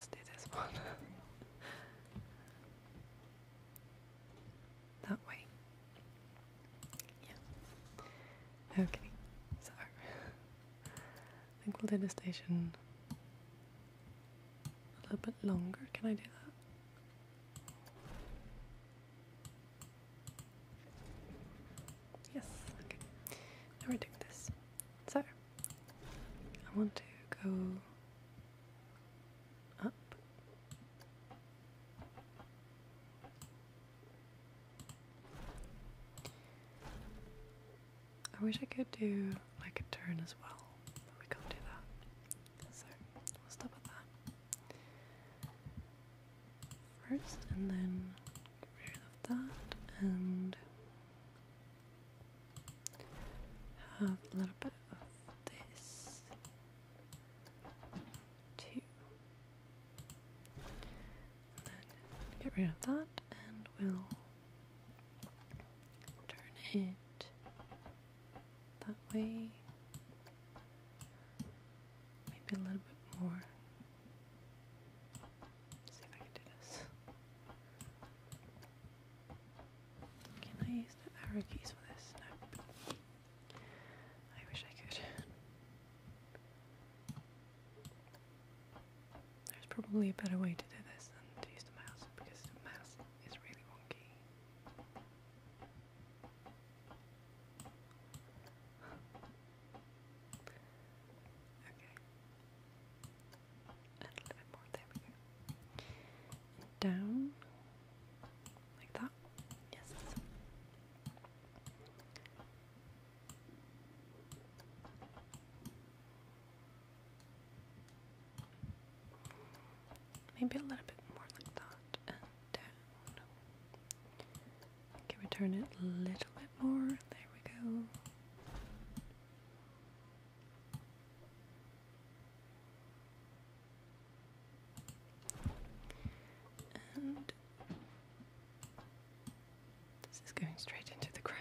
Let's do this one. that way. Yeah. Okay, so I think we'll do the station a little bit longer. Can I do that? Yes, okay. Now we're doing this. Sorry. I want to go up. I wish I could do like a turn as well, but we can't do that. So we'll stop at that. First, and then that, and have a little bit of this too. then get rid of that and we'll turn it that way. Maybe a little bit more see if I can do this. Can I use the arrow keys for this? No. I wish I could. There's probably a better way to do this than to use the mouse because the mouse is really wonky. okay a little bit more. There we go. Down, like that. Yes. Maybe a little bit more like that, and down. Can we turn it a little bit more? There we go this is going straight into the ground.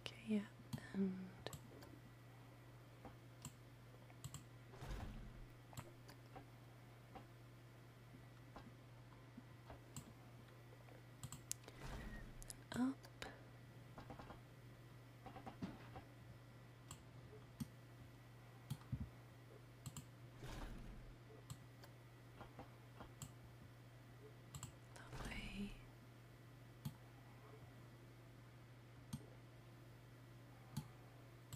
Okay, yeah, and up. Lovely.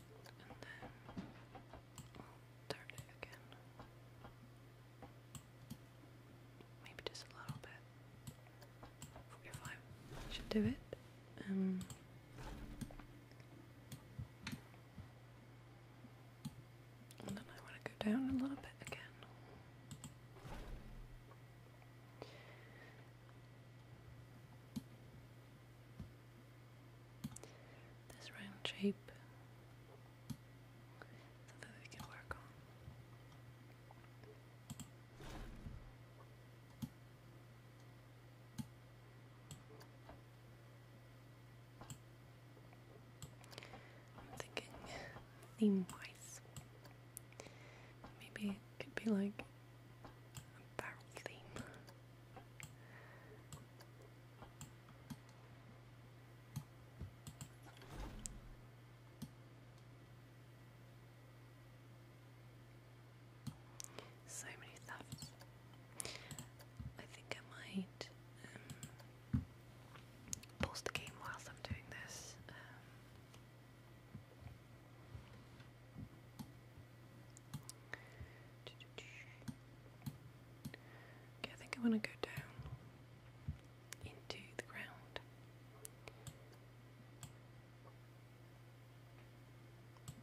And then we'll turn it again. Maybe just a little bit. Forty-five should do it. Um, and then I want to go down a little bit again. This round shape something we can work on. I'm thinking theme wise. Maybe it could be like a barrel theme. So many thefts. I think I might um, pause the game whilst I'm doing this. Um, okay, I think I want to go down into the ground.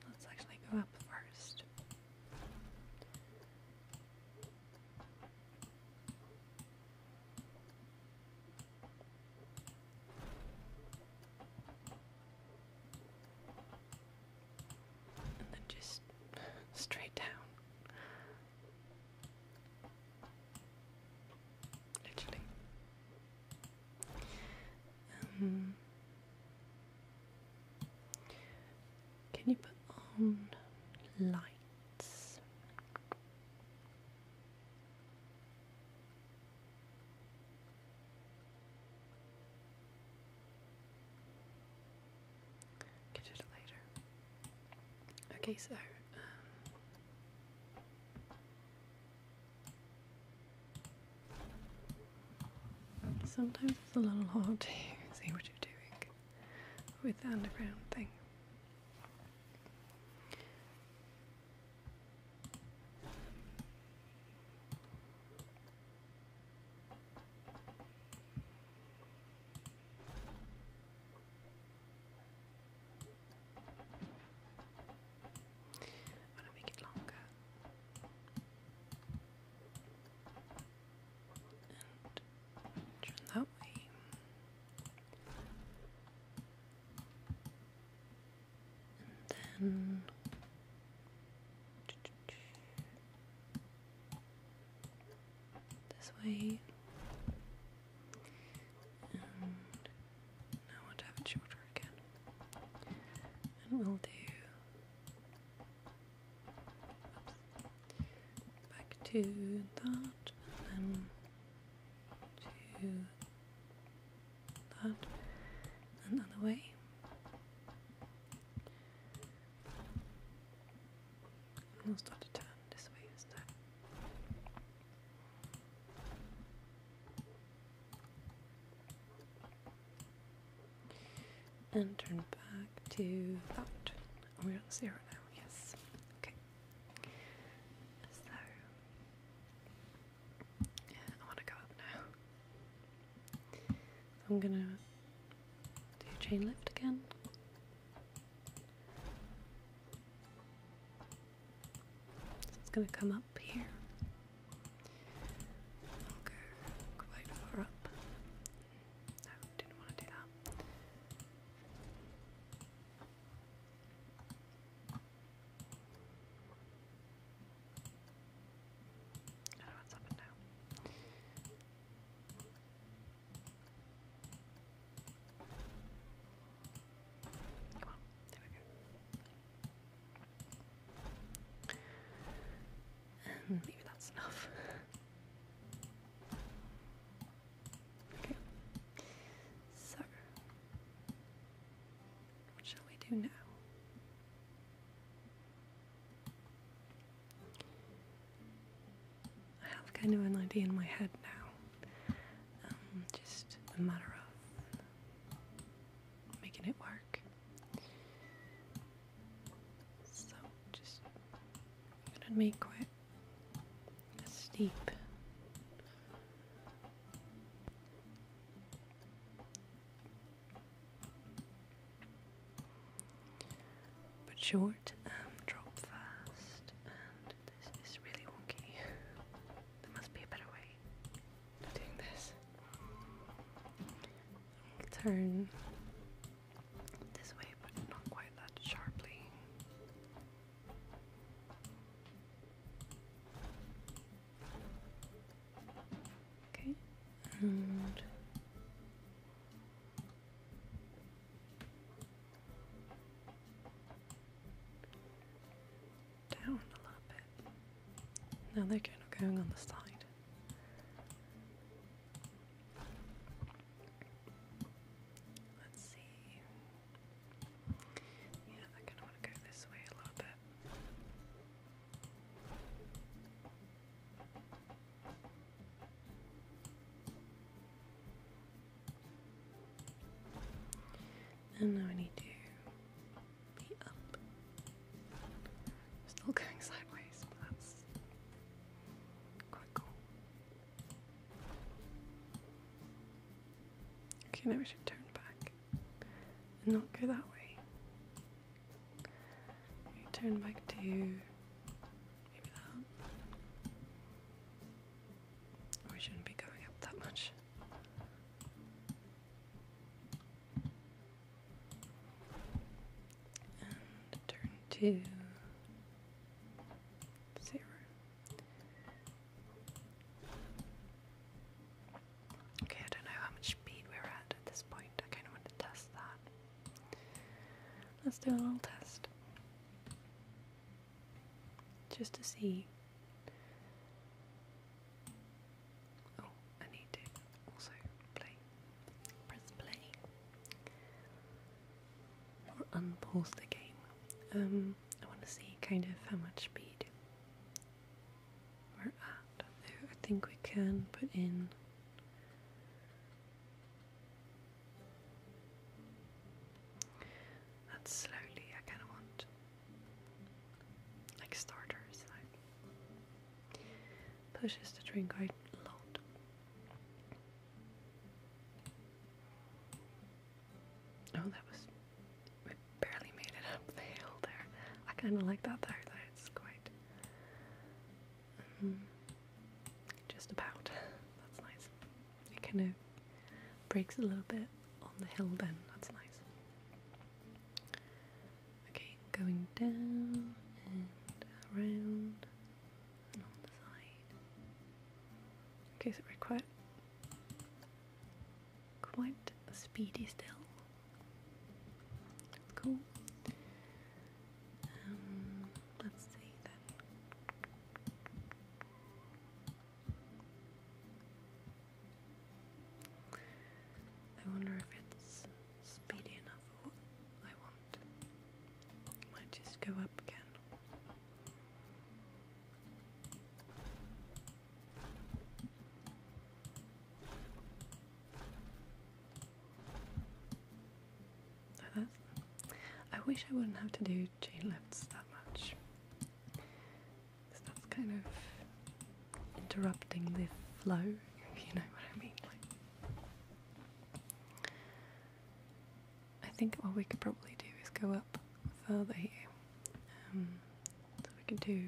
Let's actually go up first. And then just straight down. Literally. Um, can you put on light? Get it later. Okay, so. Um, sometimes it's a little hard to see what you're doing with the underground thing. I'm gonna make it longer and turn that way. And then this way. And now I want to have it again. And we'll do back to that and then to that and another way and we'll start to turn this way instead and turn back to that we're at zero now yes. Okay. So I want to go up now. I'm gonna do chain lift again. it's gonna come up here. i quite far up. No, didn't want to do that. I don't know Come on, there we go. Maybe that's enough. So, what shall we do now? I have kind of an idea in my head now. Um, just a matter of making it work. So, just gonna make quite Steep. But short, and um, drop fast, and this is really wonky. there must be a better way of doing this. turn this way, but not quite that sharply. Okay, and down a little bit. Now they're kind of going on the side. Let's see. Yeah, I kind of want to go this way a little bit. And now I need to be up. still going sideways, but that's quite cool. Okay, now we should turn back and not go that way. We turn back to maybe that. We shouldn't be going up that much. And turn to Zero. Okay, I don't know how much speed we're at at this point. I kind of want to test that. Let's do a little test. Just to see. Oh, I need to also play. Press play or unpause the game. Um, I want to see kind of how much speed we're at. I think we can put in. That's slowly. I kind of want like starters. Like pushes the drink quite a lot. Oh, that was. We barely made it up the hill there. I kind of like that though; That's quite. Um, just about. That's nice. It kind of breaks a little bit on the hill then. That's nice. Okay, going down and around. Okay, so we're quite, quite speedy still. cool. Um, let's see then. I wonder if it's speedy enough might just go up again. Oh, I wish I wouldn't have to do chain lifts that much. Because that's kind of interrupting the flow, you know what I mean. I think what we could probably do is go up further here. Um, so we can do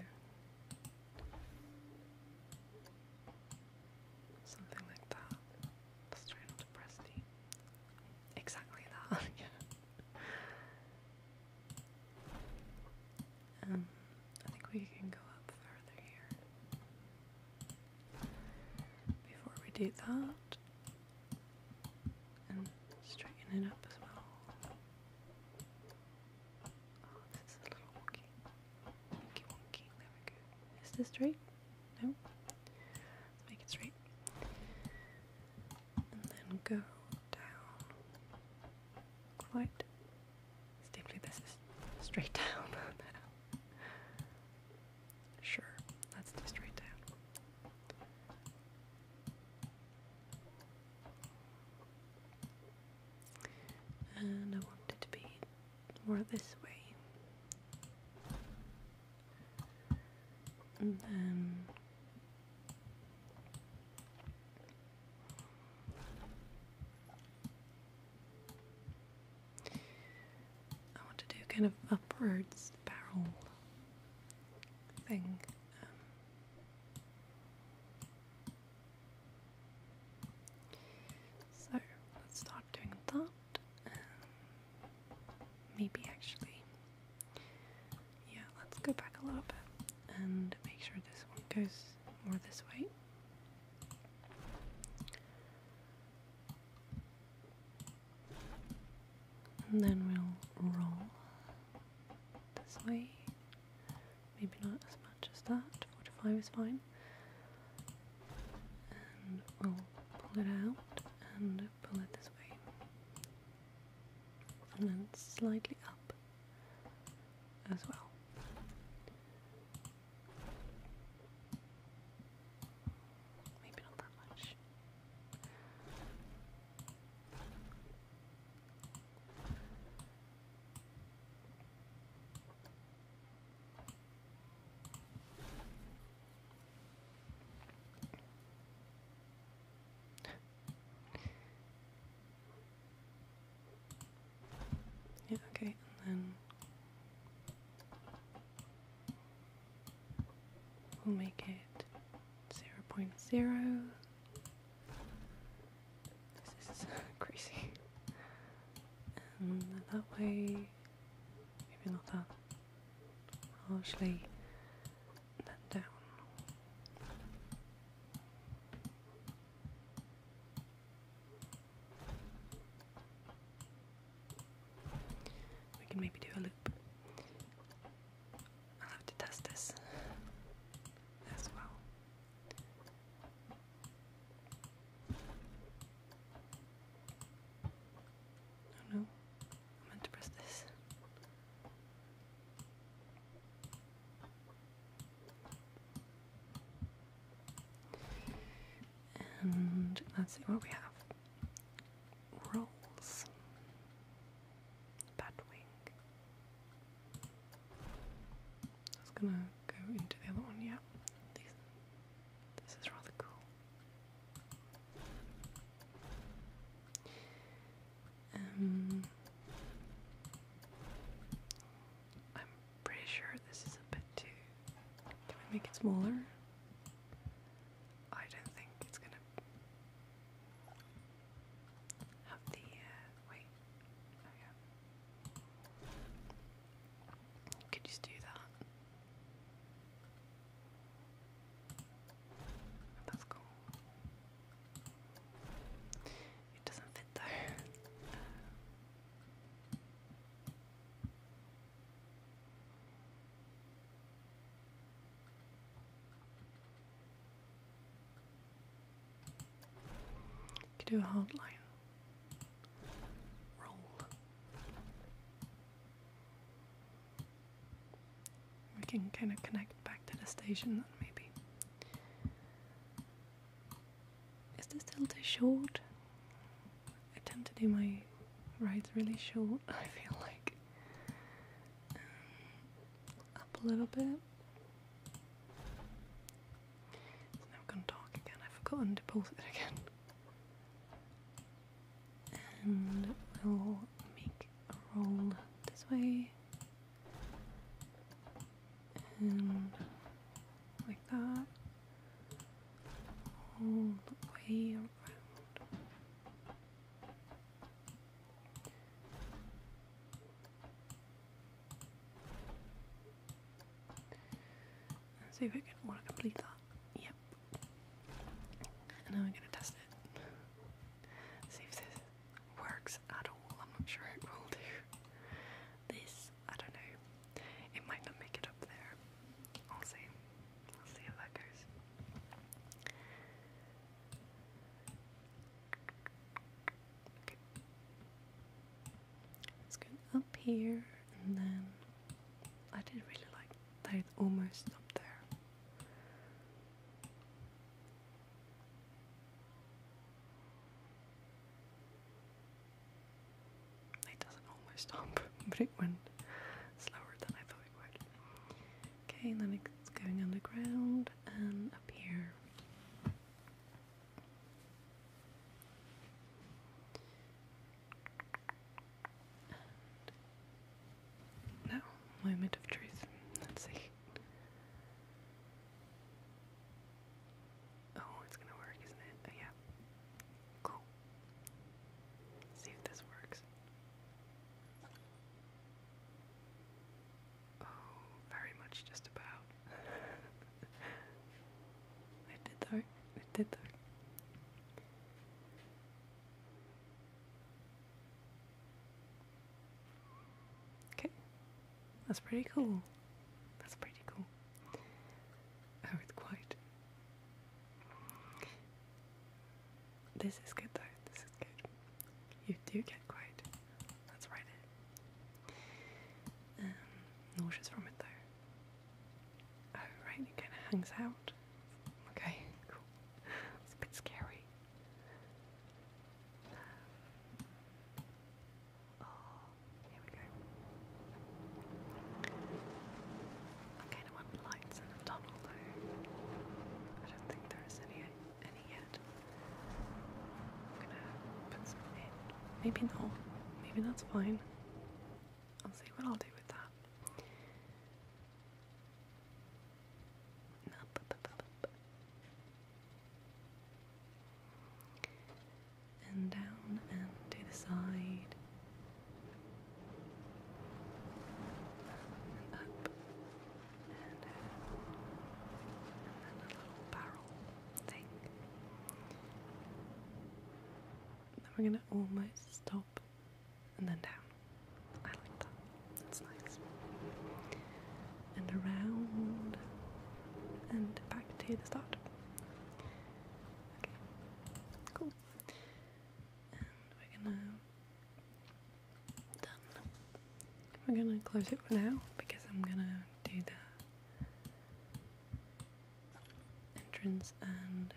something like that. Let's try not to press the exactly that. yeah. Um, I think we can go up further here before we do that and straighten it up as well. Oh, this is a little wonky. Wonky, wonky. There we go. Is this straight? No? make it straight. And then go down quite steeply. This is straight down Sure, let's just write down. And I want it to be more this way. And then I want to do kind of upwards barrel thing. Um, so let's start doing that. Um, maybe actually, yeah, let's go back a little bit and make sure this one goes more this way. And then we'll roll this way. Maybe not as much as that. 45 is fine. And we'll pull it out and pull it this way. And then slightly up as well. Maybe not that much. yeah, okay, and then We'll make it 0, This is crazy. that way, maybe not that harshly, then down. We can maybe do a loop. I'll have to test this as well. Oh no, I meant to press this. And let's see what we have. Rolls. Batwing. I was gonna go into the other one, yeah. These, this is rather cool. Um, I'm pretty sure this is a bit too. Can we make it smaller? I don't think it's gonna have the. Uh, wait. Oh yeah. Could just do that. That's cool. It doesn't fit though do a hard line. Roll. We can kind of connect back to the station then, maybe. Is this still too short? I tend to do my rides really short, I feel like. Um, up a little bit. So now going to talk again. I've forgotten to pause it again. And we'll make a roll this way. And like that, all the way around. see if I can want to complete that. Yep. And now I'm gonna test it. See if this works at all. I'm not sure it will do. This I don't know, it might not make it up there. I'll see. I'll see how that goes. Okay. let up here and then I did really like that it almost up there. It doesn't always stop, but it went slower than I thought it would. Okay, and then it's going underground and up here. now, moment of truth. Let's see. Oh, it's gonna work, isn't it? Oh, yeah. Cool. see if this works. Oh, very much just about. it did though. It did though. Okay. That's pretty cool. That's pretty cool. Oh, it's quiet. This is good though, this is good. You do get quiet. That's right. Um, nauseous from it though. Oh right, it kinda hangs out. Okay, It's a bit scary. Um, oh. Here we go. I kind of lights in the tunnel I don't think there is any any yet. I'm gonna put some in. Maybe no. Maybe that's fine. I'll see what I'll do with that and down and to the side and up and then a little barrel thing. Then we're gonna almost stop and then down. I like that. That's nice. And around and back to the start. Cool. we're gonna done. We're gonna close it for now because I'm gonna do the entrance and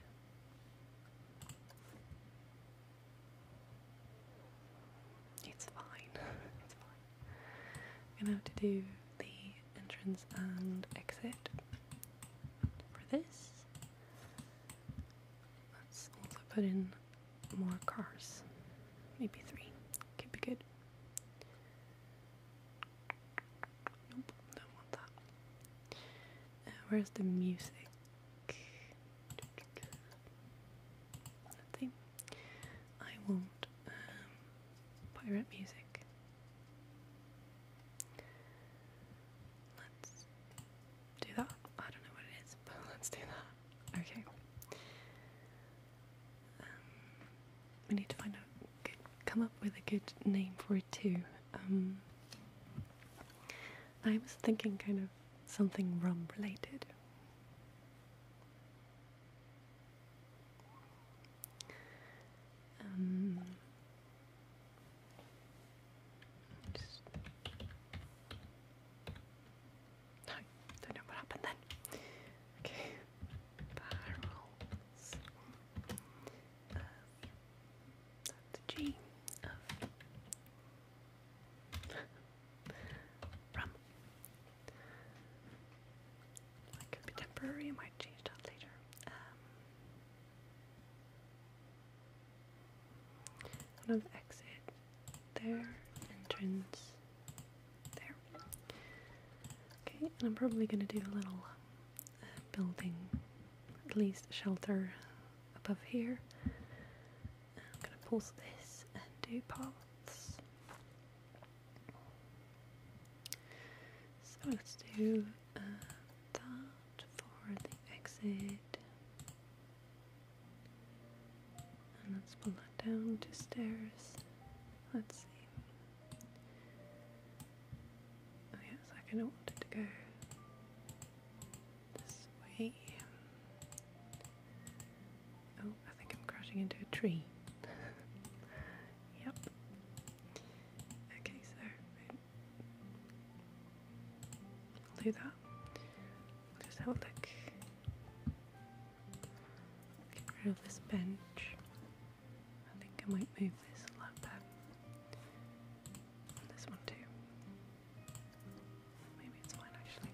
it's fine. it's fine. gonna have to do the entrance and exit for this. Let's also put in more cars. Maybe three. Could be good. Nope, don't want that. Uh, where's the music? Nothing. I won't um, pirate music. Let's do that. I don't know what it is, but let's do that. Okay. Um, we need to find out, good, come up with a good name for it too. Um, I was thinking kind of something rum related. Um, just... No, don't know what happened then. Okay, barrels that's a G of It could be temporary, I might change that later. Um, another exit there, entrance there. Okay, and I'm probably going to do a little uh, building, at least shelter above here. I'm going to pause this and do paths. So let's do that for the exit. And let's pull that down to stairs. Let's see. Oh yes, I kind of wanted to go this way. Oh, I think I'm crashing into a tree. yep. Okay, so I'll do that. I'll just have a look. Get rid of this bench. I think I might move this like that. This one too. Maybe it's fine actually.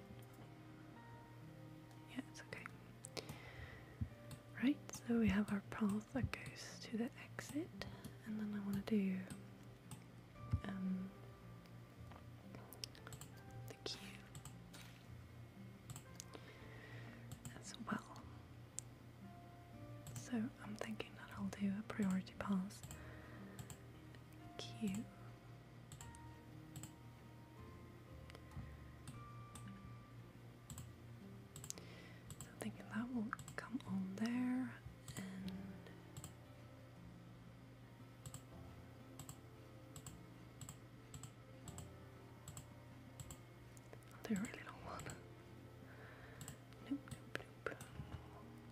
Yeah, it's okay. Right, so we have our path that goes to the exit, and then I want to do um, the queue as well. So I'm thinking that I'll do a priority pass queue. I'm thinking that will come on there and really long one. Nope, nope, nope.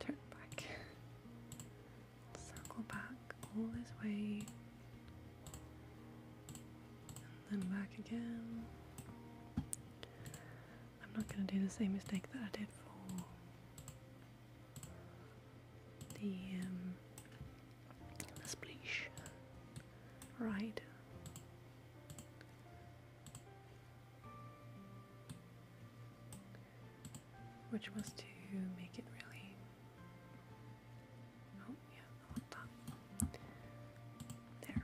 Turn back. Circle back all this way then back again. I'm not going to do the same mistake that I did for the, um, the splish ride. Which was to make it really. Oh, there.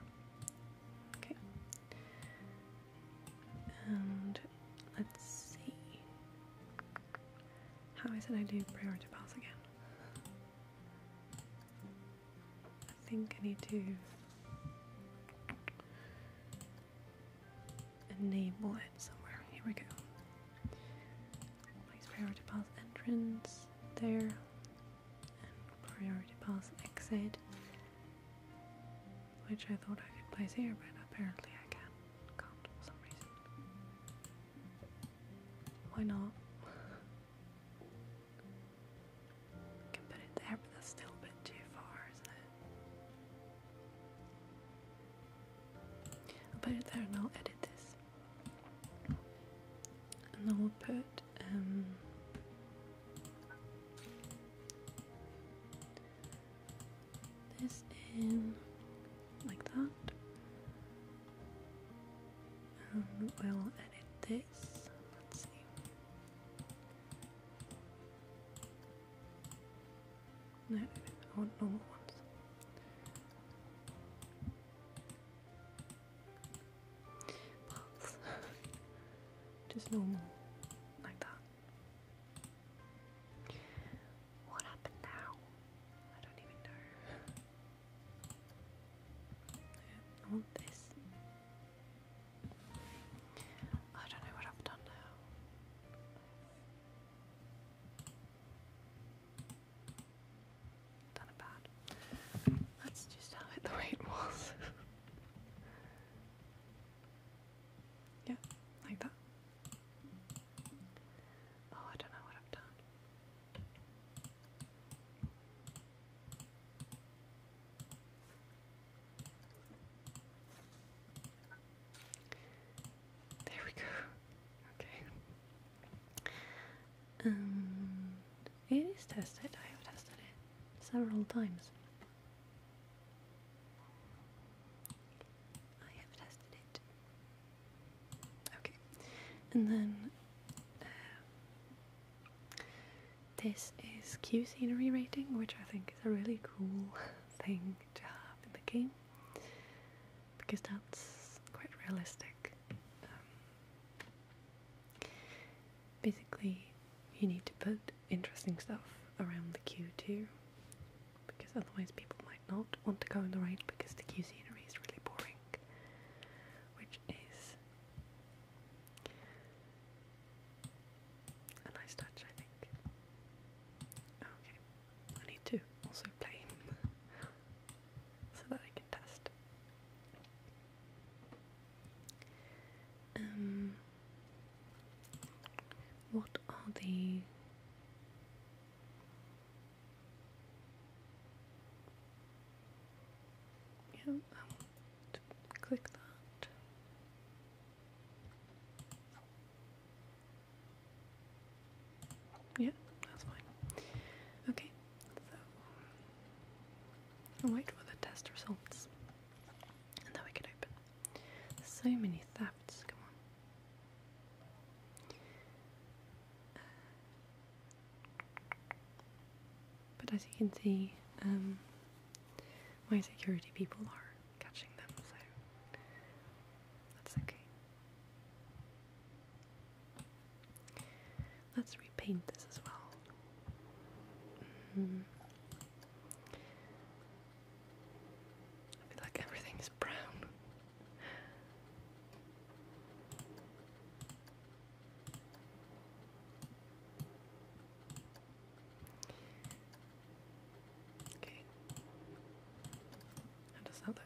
Okay. And let's see. How is it I do priority pass again? I think I need to enable it somewhere. Here we go. Place priority pass entrance there and priority pass exit, which I thought I could place here, but apparently I can not for some reason. Why not? can put it there, but that's still a bit too far, isn't it? put it there and I'll edit this. And I will put um, this in like that. Um, we'll edit this. Let's see. No, I want normal ones. Pops. Just normal. Like that. What happened now? I don't even know. I this. I don't know what I've done now done it bad. That's just how it the way it was. yeah, like that. Oh, I don't know what I've done. There we go. Okay and um, it is tested. I have tested it several times. I have tested it. Okay, and then uh, this is Q scenery rating, which I think is a really cool thing to have in the game because that's quite realistic. Um, basically you need to put interesting stuff around the queue too because otherwise people might not want to go in the ride because the queue scenery is really boring which is a nice touch I think. Okay, I need to also play so that I can test um, what are the yeah, to um, click that. Yeah, that's fine. Okay, so, wait for the test results. And then we can open. So many thefts, come on. but as you can see, um, my security people are catching them, so that's okay. Let's repaint this as well. Mm-hmm. like everything is brown. Okay. How does that look?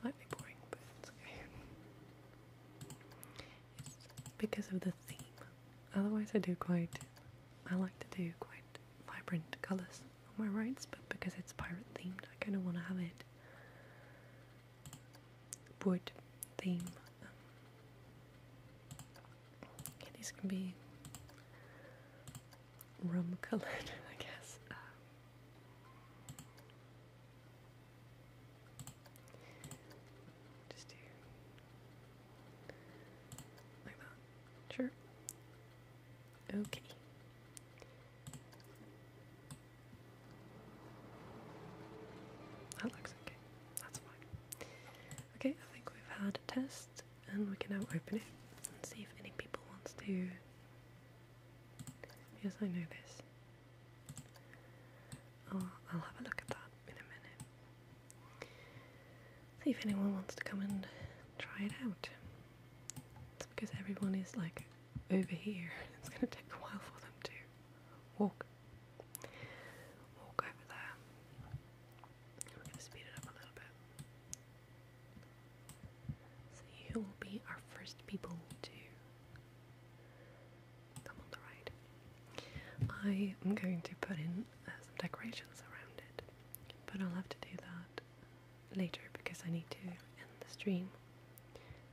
Slightly boring, but it's okay. because of the theme. Otherwise, I do quite. I like to do quite vibrant colours on my rides, but because it's pirate themed, I kind of want to have it wood theme. Um, these can be rum coloured, I guess. Um, just do like that. Sure. Okay. That looks okay. That's fine. Okay, I think we've had a test and we can now open it and see if any people wants to Yes, I know this. Oh, I'll, have a look at that in a minute. See if anyone wants to come and try it out. It's because everyone is like over here. It's going to take a while for them to walk. Walk over there. We're going to speed it up a little bit. So you will be our first people to come on the ride. I am going to put in uh, some decorations around it, but I'll have to do that later because I need to end the stream.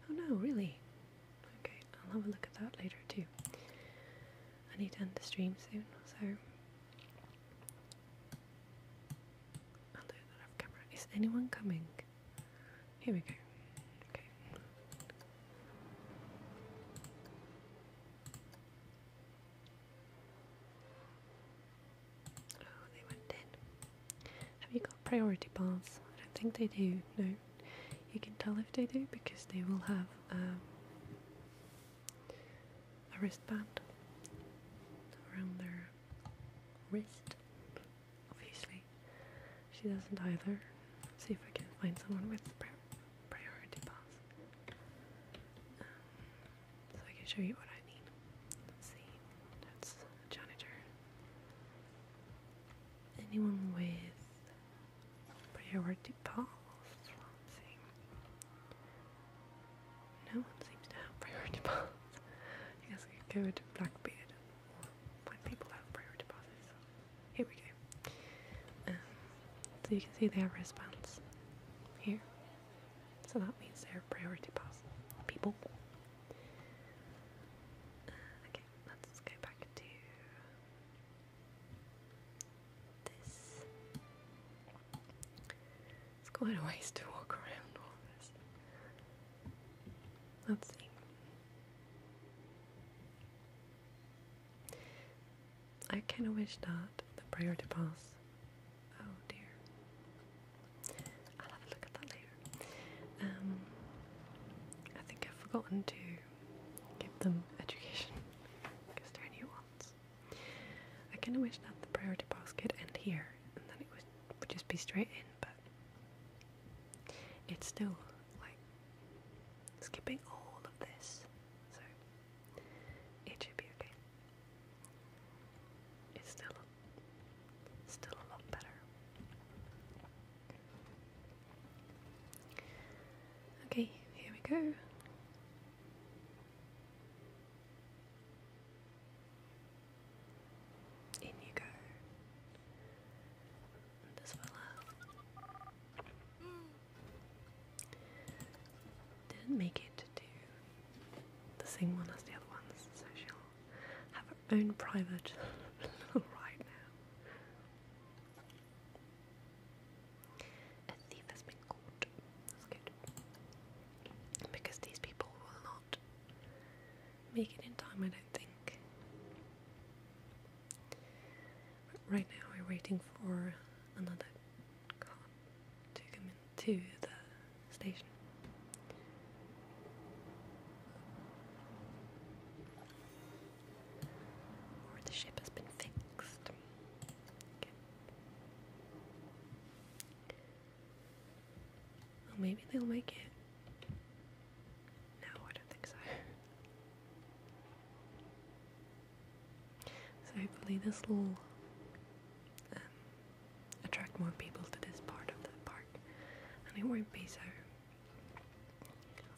Oh no, really? Okay, I'll have a look at that later too. I need to end the stream soon, so I'll do that off camera. Is anyone coming? Here we go. Okay. Oh, they went in. Have you got priority bars? I don't think they do. No. You can tell if they do because they will have um, a wristband around their wrist obviously. She doesn't either. Let's see if I can find someone with pri priority pass. Um, so I can show you what I mean. Let's see. That's a janitor. Anyone with priority pass? let no one seems to have priority passes. I guess I could go to Blackbeard or people have priority passes. here we go. Um, so you can see they have wristbands here. So that means they're priority pass people. Uh, okay, let's go back to this. It's quite a waste to walk around all this. Let's see. I kind of wish that the prayer pass. Oh dear. I'll have a look at that later. Um, I think I've forgotten to give them education because they're ones. I kind of wish that the priority pass could end here and then it would just be straight in but it's still like skipping all of this, so it should be okay. It's still still a lot better. Okay, here we go. In you go. And this fella. Didn't make it to the same one as the other ones, so she'll have her own private ride now. A thief has been caught. That's good. Because these people will not make it in time, I don't think. right now, we're waiting for another car to come into the station. the ship has been fixed maybe they'll make it. No, I don't think so. So hopefully this will um, attract more people to this part of the park, and it won't be so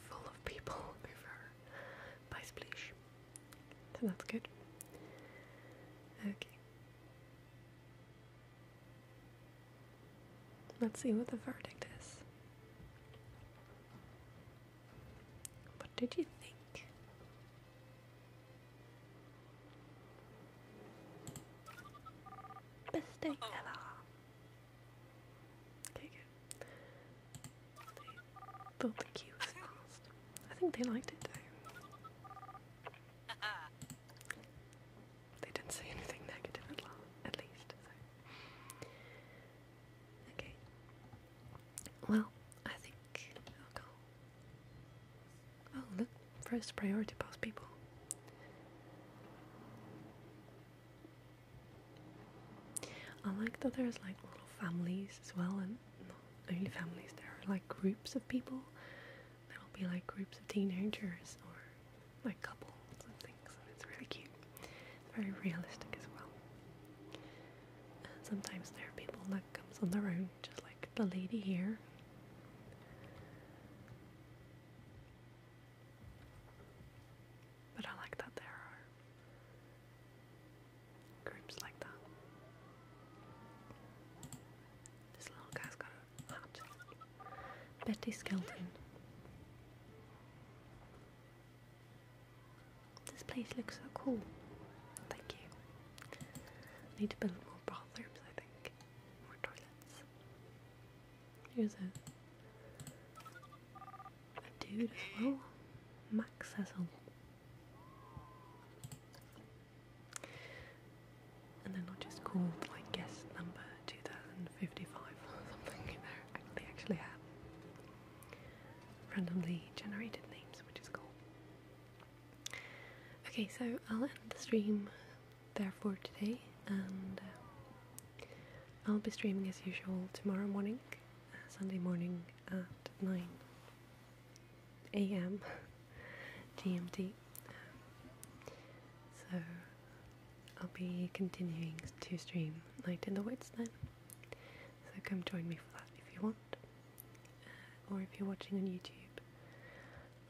full of people over by Splish. So that's good. Okay. Let's see what the verdict is. What did you think? Best thing ever. Okay, good. thought the queue was fast. I think they liked it though. Uh-huh they didn't say anything negative at, all, at least. Okay. Well, I think I'll go. Oh, look, first priority past people. I like that there's like little families as well, and not only families, there are like groups of people that will be like groups of teenagers or like couples and things, and it's really cute. very realistic as well. sometimes there are people that comes on their own, just like the lady here. But I like that there are groups like that. This little guy's got Betty Skelton. This place looks so cool. Thank you. I need to build more bathrooms, I think. More toilets. Here's a, dude as well. Max Cecil. And they're not just called like guest number 2055 or something, they actually, have randomly generated names, which is cool. Okay, so I'll end the stream there for today, and uh, I'll be streaming as usual tomorrow morning, uh, Sunday morning at 9 am GMT. So I'll be continuing to stream Night in the Woods then. So come join me for that if you want. Uh, or if you're watching on YouTube,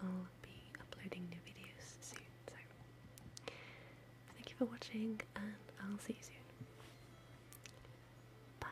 I'll be uploading new videos soon. So thank you for watching and I'll see you soon. Bye.